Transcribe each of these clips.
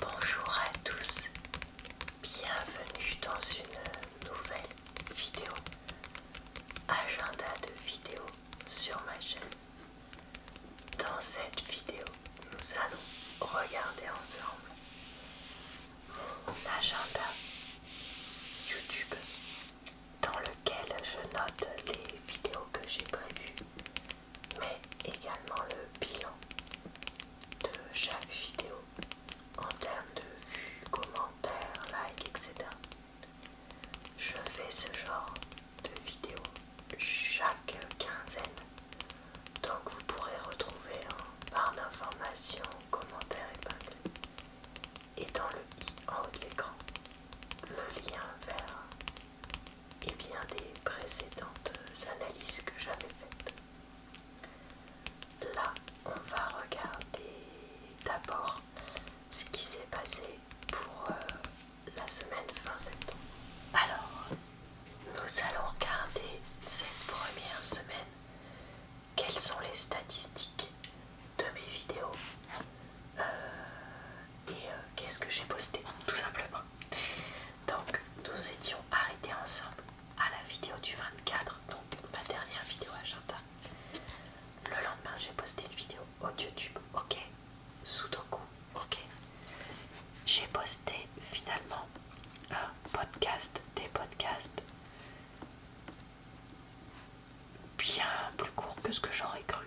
Bonjour à tous, bienvenue dans une nouvelle vidéo, agenda de vidéos sur ma chaîne. Dans cette vidéo, nous allons regarder ensemble mon agenda YouTube dans lequel je note les vidéos que j'ai prévues mais également le bilan de chaque vidéo en termes de vues, commentaires, likes, etc. Je fais ce genre de vidéo chaque quinzaine, donc vous pourrez retrouver en barre d'informations, commentaires et bugs, et dans le i en haut de l'écran le lien vers et bien des précédentes analyses que j'avais faites. Là, on va regarder d'abord ce qui s'est passé pour euh, la semaine fin septembre. Alors, nous allons regarder cette première semaine. Quelles sont les statistiques de mes vidéos euh, et euh, qu'est-ce que j'ai posté tout simplement. Donc nous étions arrêtés ensemble à la vidéo du 24, donc ma dernière vidéo à agenda. Le lendemain j'ai posté une vidéo au YouTube, ok. Sudoku, ok. J'ai posté finalement un podcast, des podcasts bien plus court que ce que j'aurais cru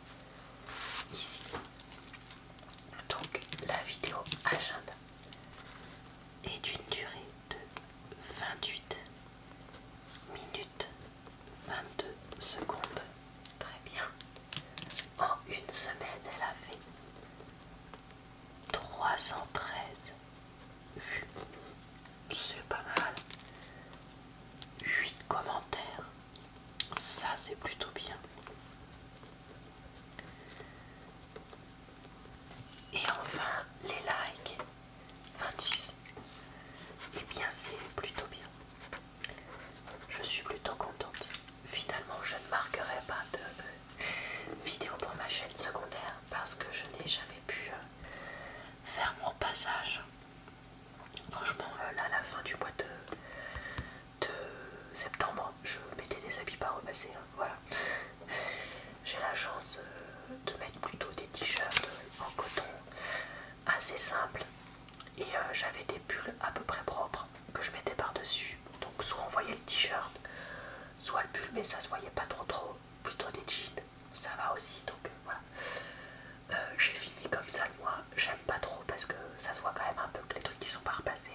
ici. Donc la vidéo agenda est d'une durée de 28 minutes 22 secondes. Très bien. En une semaine, elle a fait 313 vues. C'est pas mal. 8 commentaires. Ça, c'est plutôt bien. Et enfin, les likes 26. Et eh bien, c'est plutôt bien. Je suis plutôt contente. Finalement, je ne marquerai pas de euh, vidéo pour ma chaîne secondaire parce que je n'ai jamais pu euh, faire mon passage Franchement, euh, là, à la fin du mois de, septembre, je mettais des habits pas repassés. Hein, voilà. J'ai la chance euh, de mettre plutôt des t-shirts en coton assez simples et euh, j'avais des pulls à peu près propres que je mettais par-dessus. Donc, soit on voyait le t-shirt, soit le pull, mais ça se voyait pas trop trop. Plutôt des jeans, ça va aussi. Donc, voilà. Euh, j'ai fini comme ça moi j'aime pas trop parce que ça se voit quand même un peu que les trucs qui sont pas repassés.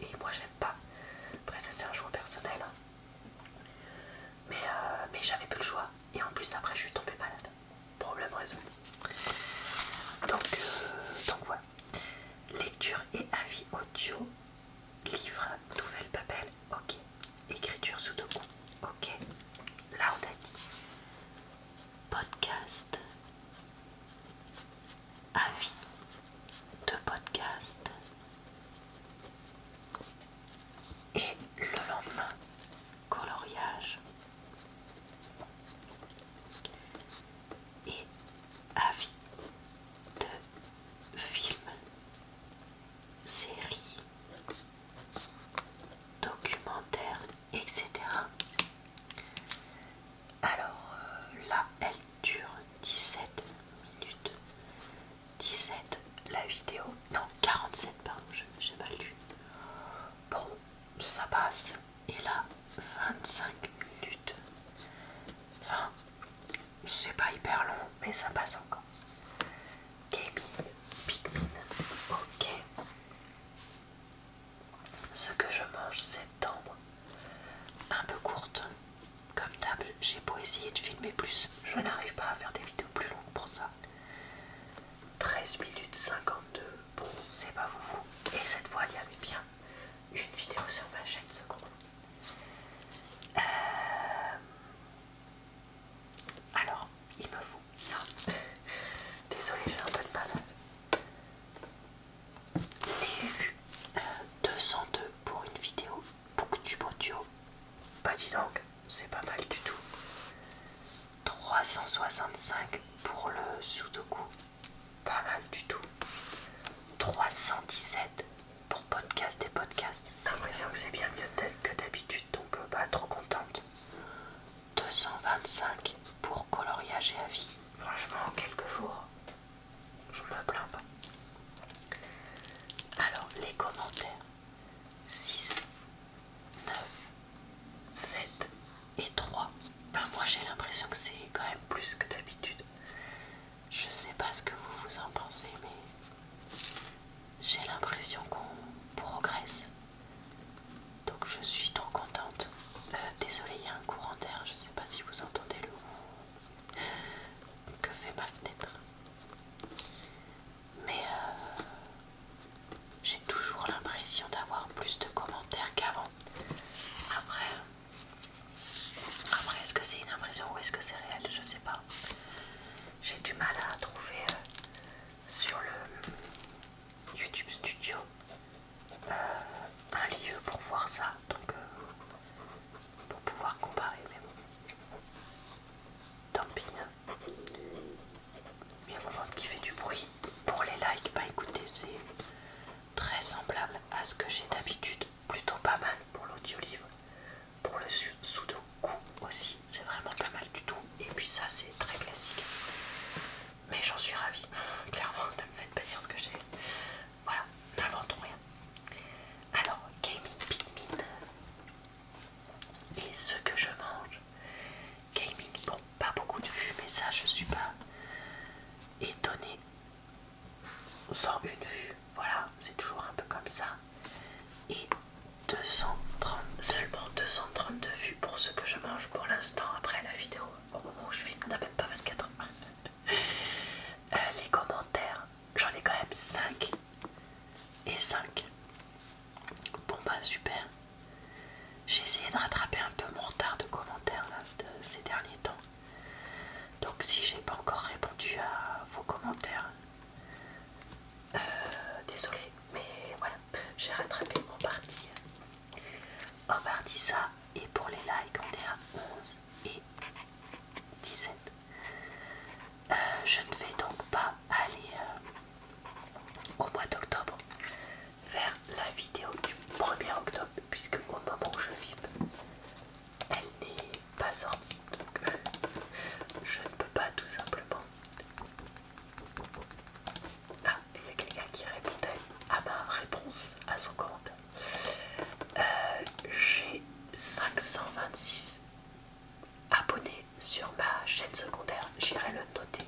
Et moi j'aime pas. Après ça c'est un jour personnel. Hein. Mais, euh, mais j'avais plus le choix. Et en plus après je suis tombée malade. Problème résolu. Donc, euh, donc voilà. Lecture et avis audio. Livre, nouvelle papel, ok. Écriture sous ok. Là on a dit podcast, avis de podcast. Et le lendemain, coloriage. Et avis de film série documentaire etc. Alors euh, là, elle dure 17 minutes. 17 la vidéo. Non, 47 pardon, j'ai mal lu. Bon, ça passe. Et là, 25 minutes. Enfin, c'est pas hyper long, mais ça passe encore. Gaming Pikmin. Ok. Ce que je mange septembre. Un peu courte. Comme table, j'ai beau essayer de filmer plus. Je n'arrive pas à faire des vidéos plus longues pour ça. 13 minutes 52. Bon, c'est pas vous vous. Et cette fois, il y avait bien une vidéo sur ma chaîne seconde. Euh, alors, il me faut ça. Désolée, j'ai un peu de mal. Les euh, 202 pour une vidéo Booktube Audio. Pas bah, dis donc, c'est pas mal du tout. 365 pour le Sudoku. Pas mal du tout. 317 pour podcast et podcast. J'ai l'impression que c'est bien mieux que d'habitude, donc pas euh, bah, trop contente. 225 pour coloriage et avis. Franchement, en quelques jours, je ne me plains pas. Alors, les commentaires 6, 9, 7 et 3. Ben, moi, j'ai l'impression que c'est quand même plus que d'habitude. Je ne sais pas ce que vous vous en pensez, mais j'ai l'impression qu'on progresse. Donc je suis trop contente. Euh, désolée, il y a un courant d'air, je ne sais pas si vous entendez le que fait ma fenêtre. Mais euh, j'ai toujours l'impression d'avoir plus de commentaires qu'avant. Après, après est-ce que c'est une impression ou est-ce que c'est réel Je sais pas. J'ai du mal à trouver euh, sur le YouTube Studio euh, un lieu pour voir ça, donc euh, pour pouvoir comparer. Mais bon. Tant pis. Il y a mon ventre qui fait du bruit. Pour les likes, bah écoutez, c'est très semblable à ce que j'ai d'habitude, plutôt pas mal pour l'audio livre pour le sudoku aussi, c'est vraiment pas mal du tout. Et puis ça, c'est très classique. Mais j'en suis ravie. Clairement, ne me faites pas dire ce que j'ai. Voilà, n'inventons rien. Alors, Gaming Pikmin et ce que je mange. Gaming, bon, pas beaucoup de vues, mais ça, je suis pas étonnée. Sans une vue, voilà, c'est toujours un peu comme ça et 230, seulement 232 vues pour ce que je mange pour l'instant après la vidéo. Au moment où je filme, n'a même pas 24 heures. Euh, les commentaires, j'en ai quand même 5 et 5. Bon bah super. J'ai essayé de rattraper un peu mon retard de commentaires ces derniers temps. Donc si j'ai pas encore répondu à vos commentaires, euh, désolée, mais voilà, j'ai rattrapé mon partie, en partie ça, et pour les likes, on est à 11 et 17. Euh, je ne vais donc pas aller euh, au mois d'octobre faire la vidéo du 1er octobre, puisque au moment où je filme, elle n'est pas sortie, donc je ne peux pas tout simplement ah, il y a quelqu'un qui répondait à ma réponse, à son commentaire. Euh, j'ai 526 abonnés sur ma chaîne secondaire. J'irai le noter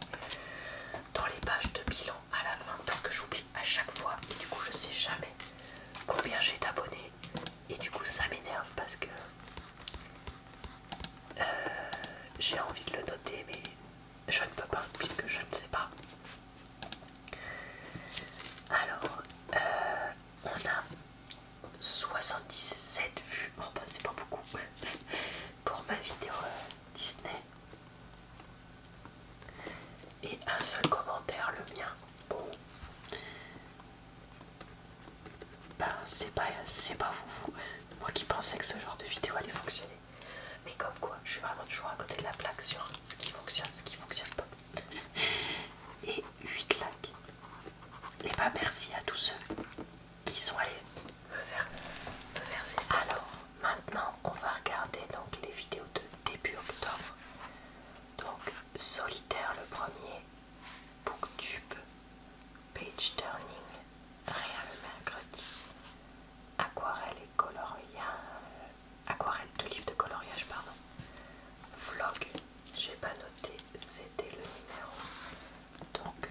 dans les pages de bilan à la fin parce que j'oublie à chaque fois et du coup je sais jamais combien j'ai d'abonnés et du coup, ça m'énerve parce que euh, j'ai envie de le noter, mais je ne peux pas puisque je ne sais pas. Alors, euh, on a 77 vues. Oh, bah, c'est pas beaucoup pour ma vidéo euh, Disney. Et un seul commentaire, le mien. Bon, ben c'est pas, pas vous, moi qui pensais que ce genre de vidéo allait fonctionner. Mais comme quoi, je suis vraiment toujours à côté de la plaque sur ce qui fonctionne, ce qui fonctionne pas. Et 8 likes. Et bah merci à tous ceux qui sont allés me faire, ces Alors maintenant on va regarder donc les vidéos de début octobre. Donc solitaire le premier, Booktube, Page Turning, Rien le mercredi, Aquarelle et coloriage, Aquarelle de livre de coloriage, pardon, Vlog, j'ai pas noté, c'était le numéro, donc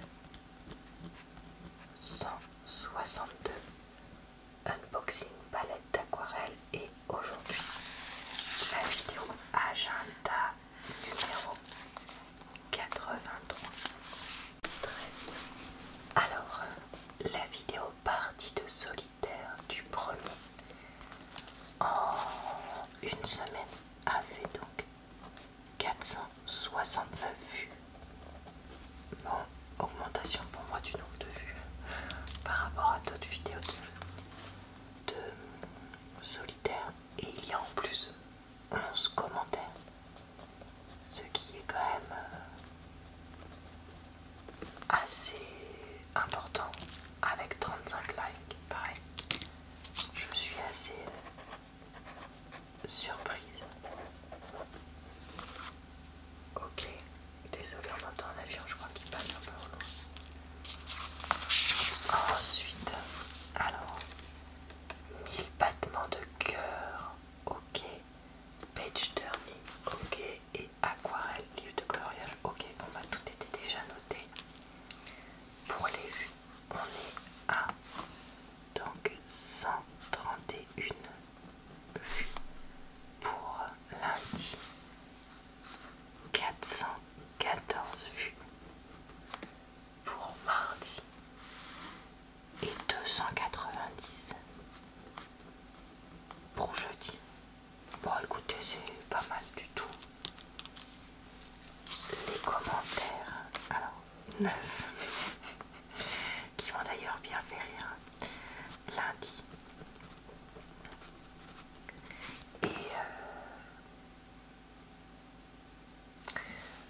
162, Unboxing palette d'aquarelle et aujourd'hui la vidéo agenda numéro 83. Alors, euh, la vidéo partie de solitaire du premier en une semaine a fait donc 469 vues. Bon, augmentation pour moi du nombre de vues hein, par rapport à d'autres vidéos de solitaire et il y a en plus 11 commentaires. Ce qui est quand même euh, assez important avec 35 likes. Pareil, je suis assez surprise. Ok, désolé, on entend un avion, je crois qu'il passe un peu au loin. Ensuite, alors, 1000 battements de cœur, ok. Page turning, ok. Et aquarelle, livre de coloriage, ok. on bah tout était déjà noté. Pour les vues, on est à donc 131 vues pour lundi. 414 vues pour mardi et 290 pour jeudi. Bon écoutez, c'est pas mal du tout. Les commentaires, alors 9, qui vont d'ailleurs bien fait rire. Lundi, et. Euh,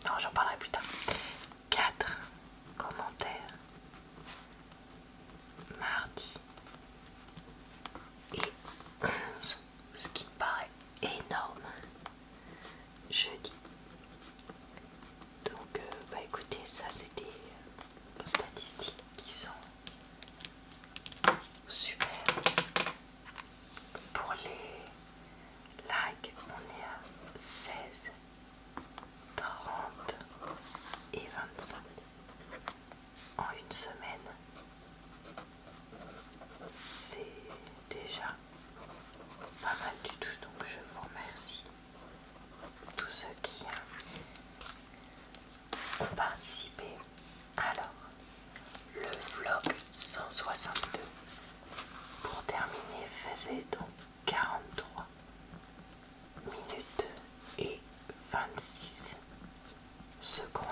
non, j'en parlerai plus tard. 4 commentaires mardi et 11, ce qui me paraît énorme, jeudi. Donc, euh, bah écoutez, ça c'était des statistiques qui sont Super. Pour les likes, on est à 16, 30 et 25 en une semaine. C'est déjà pas mal du tout, donc je vous remercie tous ceux qui ont Alors, le vlog 162 pour terminer faisait donc 43 minutes et 26 secondes.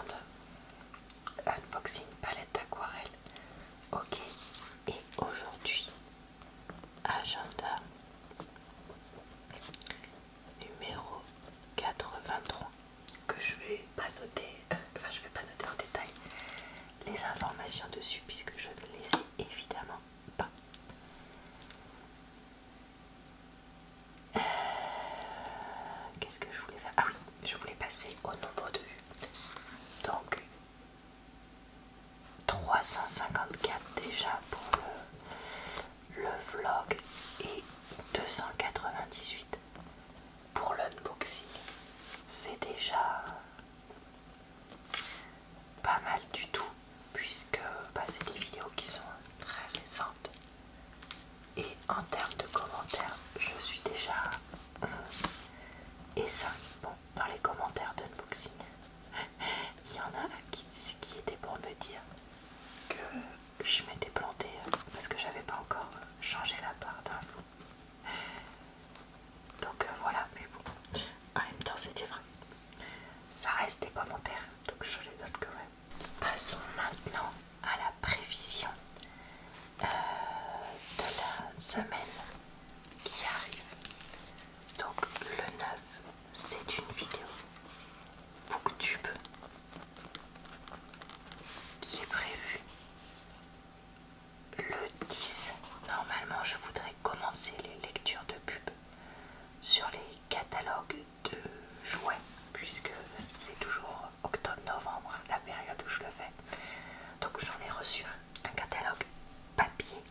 Unboxing palette d'aquarelle. Ok. Et aujourd'hui, agenda numéro 83 que je vais pas noter, enfin je vais pas noter en détail les informations dessus puisque je ne les ai évidemment pas. Euh, qu'est-ce que je voulais faire Ah oui, je voulais passer au nombre de vues. Donc 354 déjà pour le le vlog est 298 pour l'unboxing. C'est déjà pas mal du tout puisque bah, c'est des vidéos qui sont très récentes. Et en termes de commentaires, je suis déjà et ça, Bon, dans les commentaires d'unboxing, il y en a qui, qui était pour me dire que je m'étais plantée parce que j'avais pas encore changé la barre d'infos. Donc euh, voilà, mais bon, en même temps c'était vrai. Ça reste des commentaires, donc je les donne quand même. Passons maintenant à la prévision euh, de la semaine qui arrive. Donc le 9, c'est une vidéo booktube qui est prévu le 10. Normalement, je voudrais commencer les lectures de pub sur les catalogues de juin, puisque c'est toujours octobre-novembre, la période où je le fais. Donc j'en ai reçu un, catalogue papier.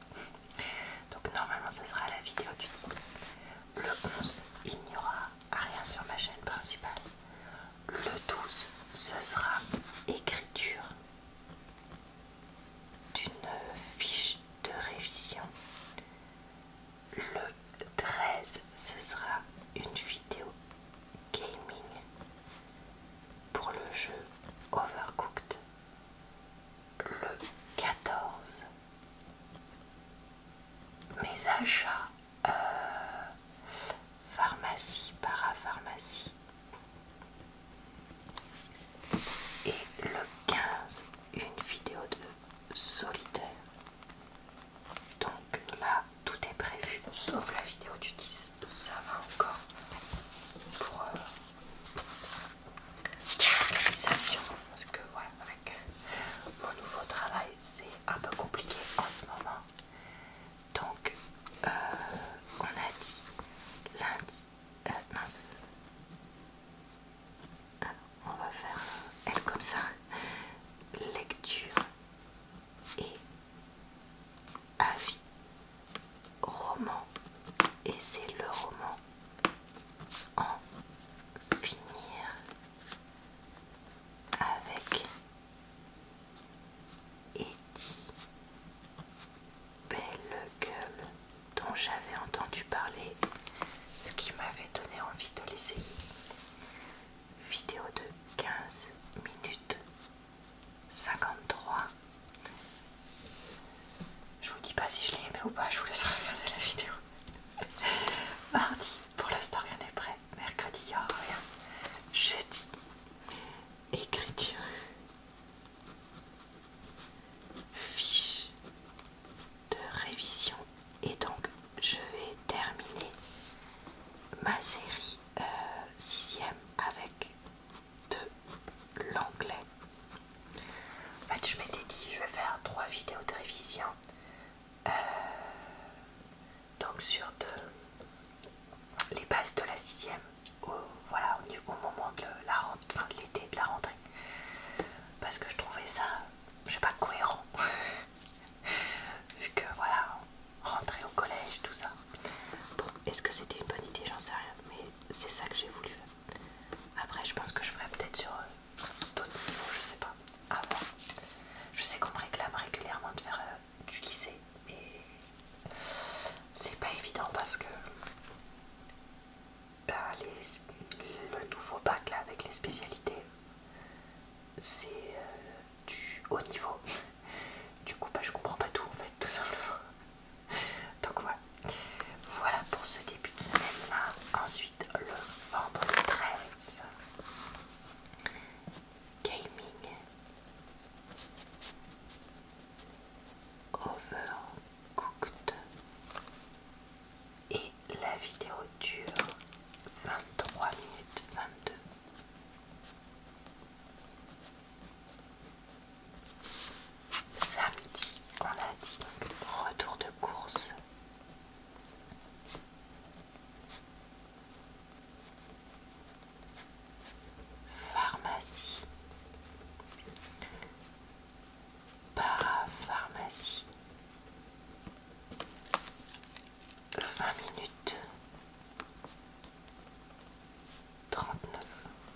Donc normalement ce sera la vidéo du 10. Le 11, il n'y aura rien sur ma chaîne principale. Le 12, ce sera écriture d'une fiche de révision. Le 13, ce sera une vidéo gaming pour le jeu Overcooked. Le 14, mes achats euh, pharmacie, parapharmacie. Et le 15, une vidéo de solitaire. Donc là, tout est prévu, sauf la vidéo du 10. Ça va encore pour euh, la parce que avec mon nouveau travail, c'est un peu compliqué en ce moment. Donc, euh, on a dit lundi. Euh, on va faire euh, elle comme ça. Lecture et avis. Roman. Et c'est le roman en finir avec Eddie Belle Gueule dont j'avais entendu parler, ce qui m'avait donné envie de l'essayer. Vidéo de 15 minutes 53. Je vous dis pas si je l'ai aimé ou pas, je vous laisse regarder la vidéo. Mardi, pour l'instant rien n'est prêt. Mercredi, rien. Jeudi, écriture. Fiche de révision. Et donc, je vais terminer ma série euh, sixième avec de l'anglais en fait, je m'étais dit, je vais faire trois vidéos de révision. Euh, donc sur les bases de la sixième, au, voilà, au, moment de la rentrée, de l'été de la rentrée. Parce que je trouvais ça, je sais pas, cohérent. Vu que voilà, rentrer au collège, tout ça. Bon, est-ce que c'était une bonne idée J'en sais rien. Mais c'est ça que j'ai voulu. Après, je pense que je ferai peut-être sur euh, d'autres niveaux, je sais pas. ah, je sais qu'on me réclame régulièrement de faire euh, du lycée, mais c'est pas évident parce que bah, le nouveau bac là avec les spécialités, c'est euh, du haut niveau. Du coup, bah, je comprends pas tout en fait, tout simplement. Donc, voilà voilà pour ce début de semaine-là. Ah, ensuite, le vendredi 13. Gaming. Overcooked. Et la vidéo dure 23 minutes 22 samedi, on a dit retour de course. Pharmacie, parapharmacie, 20 minutes, 39.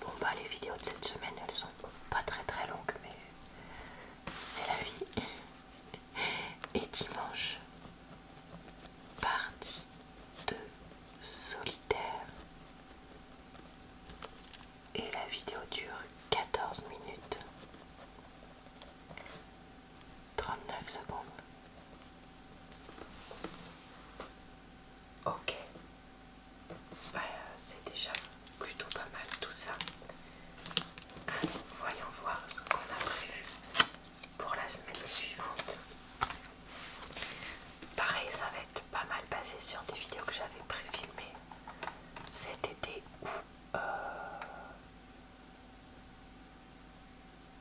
Bon, bah, les vidéos de cette semaine elles sont pas très très longues, mais c'est la vie. Et dimanche, partie de solitaire. Et la vidéo dure 14 minutes. 39 secondes. Ok. Bah, c'est déjà plutôt pas mal tout ça. voyons voir ce qu'on a prévu pour la semaine suivante. Pareil, ça va être pas mal basé sur des vidéos que j'avais préfilmées cet été euh,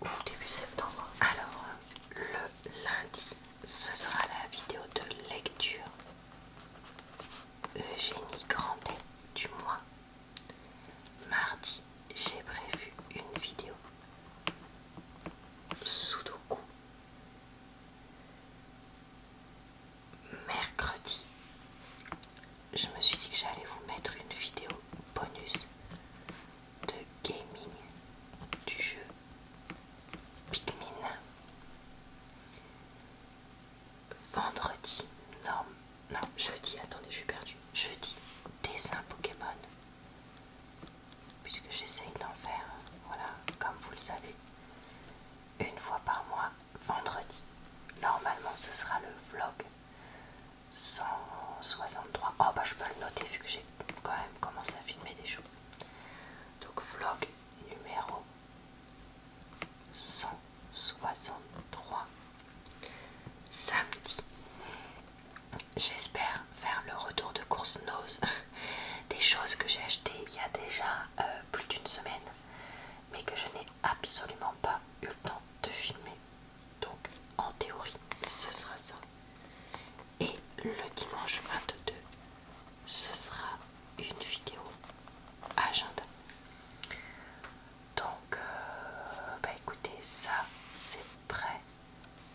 ou début septembre. Alors, le lundi, ce sera la vidéo de lecture. Eugénie Grandet du mois. Mardi, j'ai prévu une vidéo. Sudoku. Mercredi, je me suis dit que j'allais vous mettre une vidéo bonus de gaming du jeu Pikmin vendredi, non, non, jeudi, attendez, je suis perdue. Jeudi, dessin Pokémon. Puisque j'essaye d'en faire, voilà, comme vous le savez, une fois par mois, vendredi. Normalement, ce sera le vlog 163. Oh, bah, je peux le noter vu que j'ai quand même commencé à filmer des choses. Donc, vlog numéro 163 samedi. J'espère faire le retour de course nose des choses que j'ai achetées il y a déjà euh, plus d'une semaine, mais que je n'ai absolument pas eu le temps de filmer. Donc en théorie, ce sera ça. Et le dimanche 22 ce sera une vidéo agenda. Donc, euh, bah écoutez, ça c'est prêt,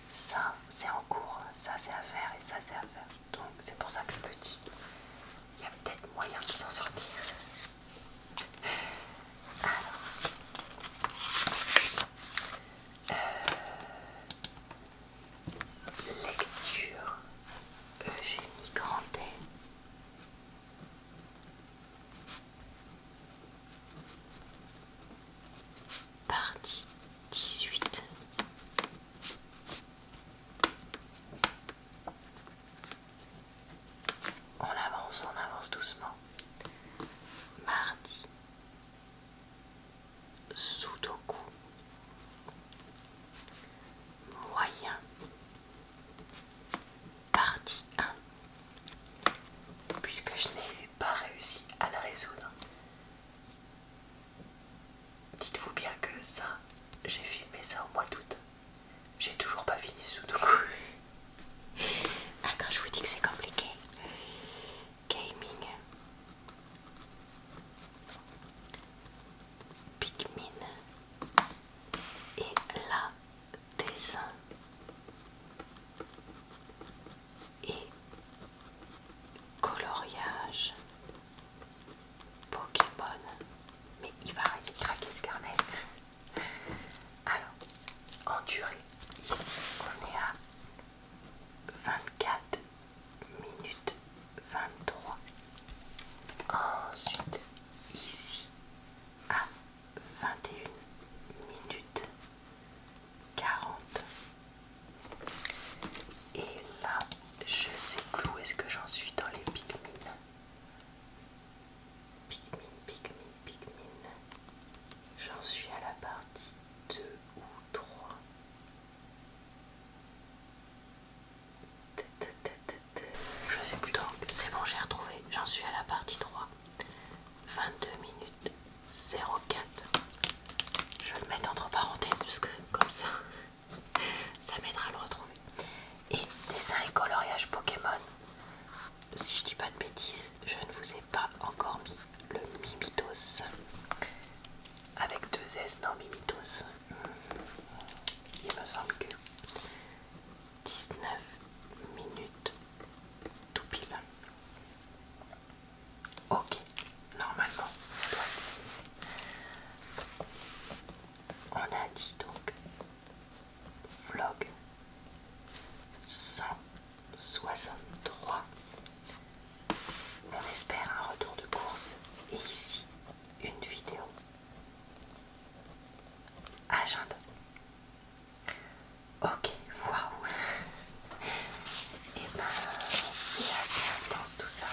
ça c'est en cours, ça c'est à faire et ça c'est à faire. Donc, c'est pour ça que je me dis, il y a peut-être moyen de s'en sortir. Euh, Lecture Eugénie Grandet. Partie 18 On avance, on avance doucement. Mardi Sudoku Moyen Partie 1 Puisque je n'ai pas réussi à la résoudre. Dites-vous bien que ça, j'ai filmé ça au mois d'août. J'ai toujours pas fini Sudoku. ah, quand je vous dis que c'est compliqué. Gaming Pikmin et la dessin et coloriage Pokémon. Mais il va arrêter de craquer ce carnet. Alors, en durée, ici on est à 24 minute 23. Ensuite, ici, à 21 minutes 40. Et là, je sais plus où est-ce que j'en suis dans les pygmines Pikmin, Pikmin, Pikmin. J'en suis à la partie 2 ou 3. Je sais plus Donc c'est bon, j'ai retrouvé. J'en suis à la partie 3. 22 minutes 04. Je vais le mettre entre parenthèses parce que comme ça, ça m'aidera à le retrouver. Et dessin et coloriage Pokémon. Si je dis pas de bêtises, je ne vous ai pas encore mis le Mimitos avec deux S, non Mimitos. Il me semble que 19 minutes tout pile. Ok, normalement ça doit être. On a dit donc vlog 163 on espère un retour de course et ici une vidéo. Agenda. Ah, ok, waouh. Et eh ben c'est assez intense tout ça.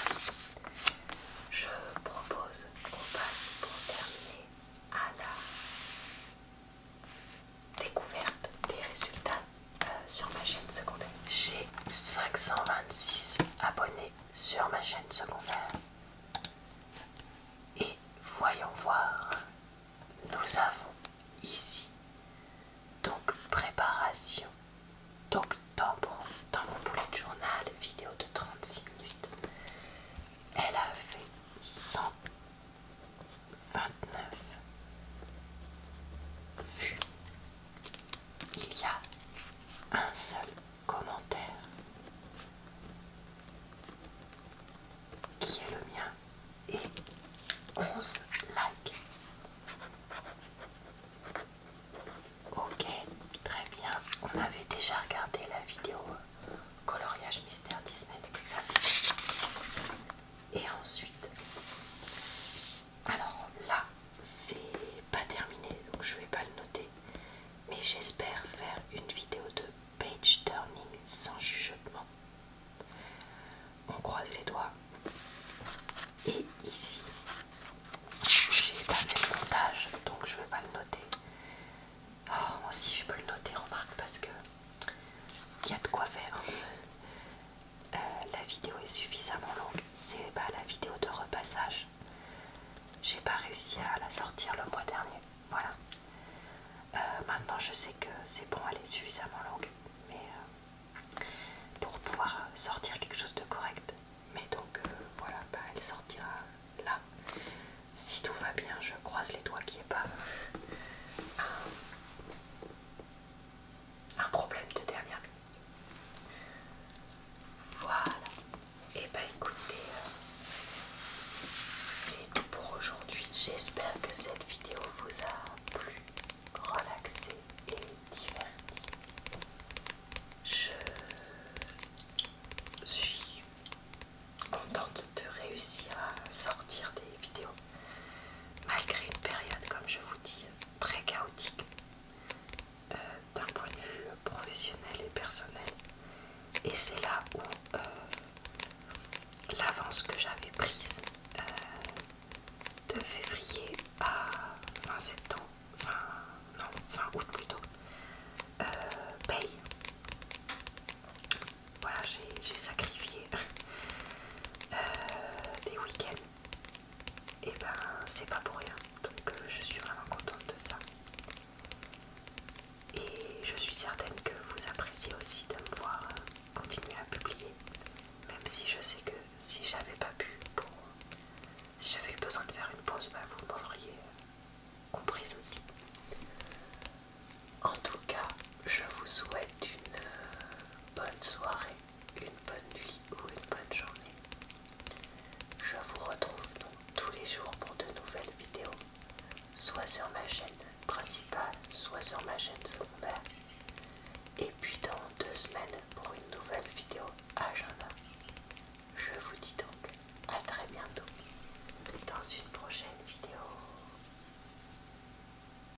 Je propose qu'on passe pour terminer à la découverte des résultats euh, sur ma chaîne secondaire. J'ai 526 abonnés sur ma chaîne secondaire. Et voyons voir, nous avons ici donc préparation d'octobre dans mon de journal, vidéo de 36 minutes. Elle a fait 129 vues il y a un seul commentaire qui est le mien et 11 likes. Ok, très bien. On avait déjà regardé la vidéo coloriage mystère Disney. Ça, et ensuite, alors là, c'est pas terminé, donc je vais pas le noter. Mais j'espère faire une vidéo de page turning sans chuchotement. On croise les doigts. Et ici, j'ai pas fait le montage, donc je vais pas le noter. Oh, moi aussi je peux le noter, remarque, parce que il y a de quoi faire. Euh, la vidéo est suffisamment longue. C'est pas la vidéo de repassage. J'ai pas réussi à la sortir le mois dernier. Voilà. Euh, maintenant, je sais que c'est bon, elle est suffisamment longue, mais euh, pour pouvoir sortir quelque chose de correct. Mais donc, voilà, bah, elle sortira là. Si tout va bien, je croise les doigts qu'il n'y ait pas un problème de dernière minute. Voilà. Et eh bah ben, écoutez, euh, c'est tout pour aujourd'hui. J'espère que cette vidéo vous a plu, relaxé et diverti. Je suis contente de réussir à sortir des vidéos malgré une période, comme je vous dis, très chaotique euh, d'un point de vue professionnel et personnel. Et c'est là où euh, l'avance que j'avais prise euh, de février à fin septembre, non, fin août plutôt, paye. Voilà, j'ai sacrifié des week-ends et ben c'est pas pour rien. Donc euh, je suis vraiment contente de ça. Et je suis certaine que vous appréciez aussi de me voir euh, continuer à publier. Même si je sais que si j'avais pas pu Si j'avais eu besoin de faire une pause, bah, vous m'auriez euh, comprise aussi. En tout cas, je vous souhaite une bonne soirée une bonne nuit ou une bonne journée. Je vous retrouve donc tous les jours pour de nouvelles vidéos, soit sur ma chaîne principale, soit sur ma chaîne secondaire. Et puis dans deux semaines pour une nouvelle vidéo à agenda. Je vous dis donc à très bientôt dans une prochaine vidéo.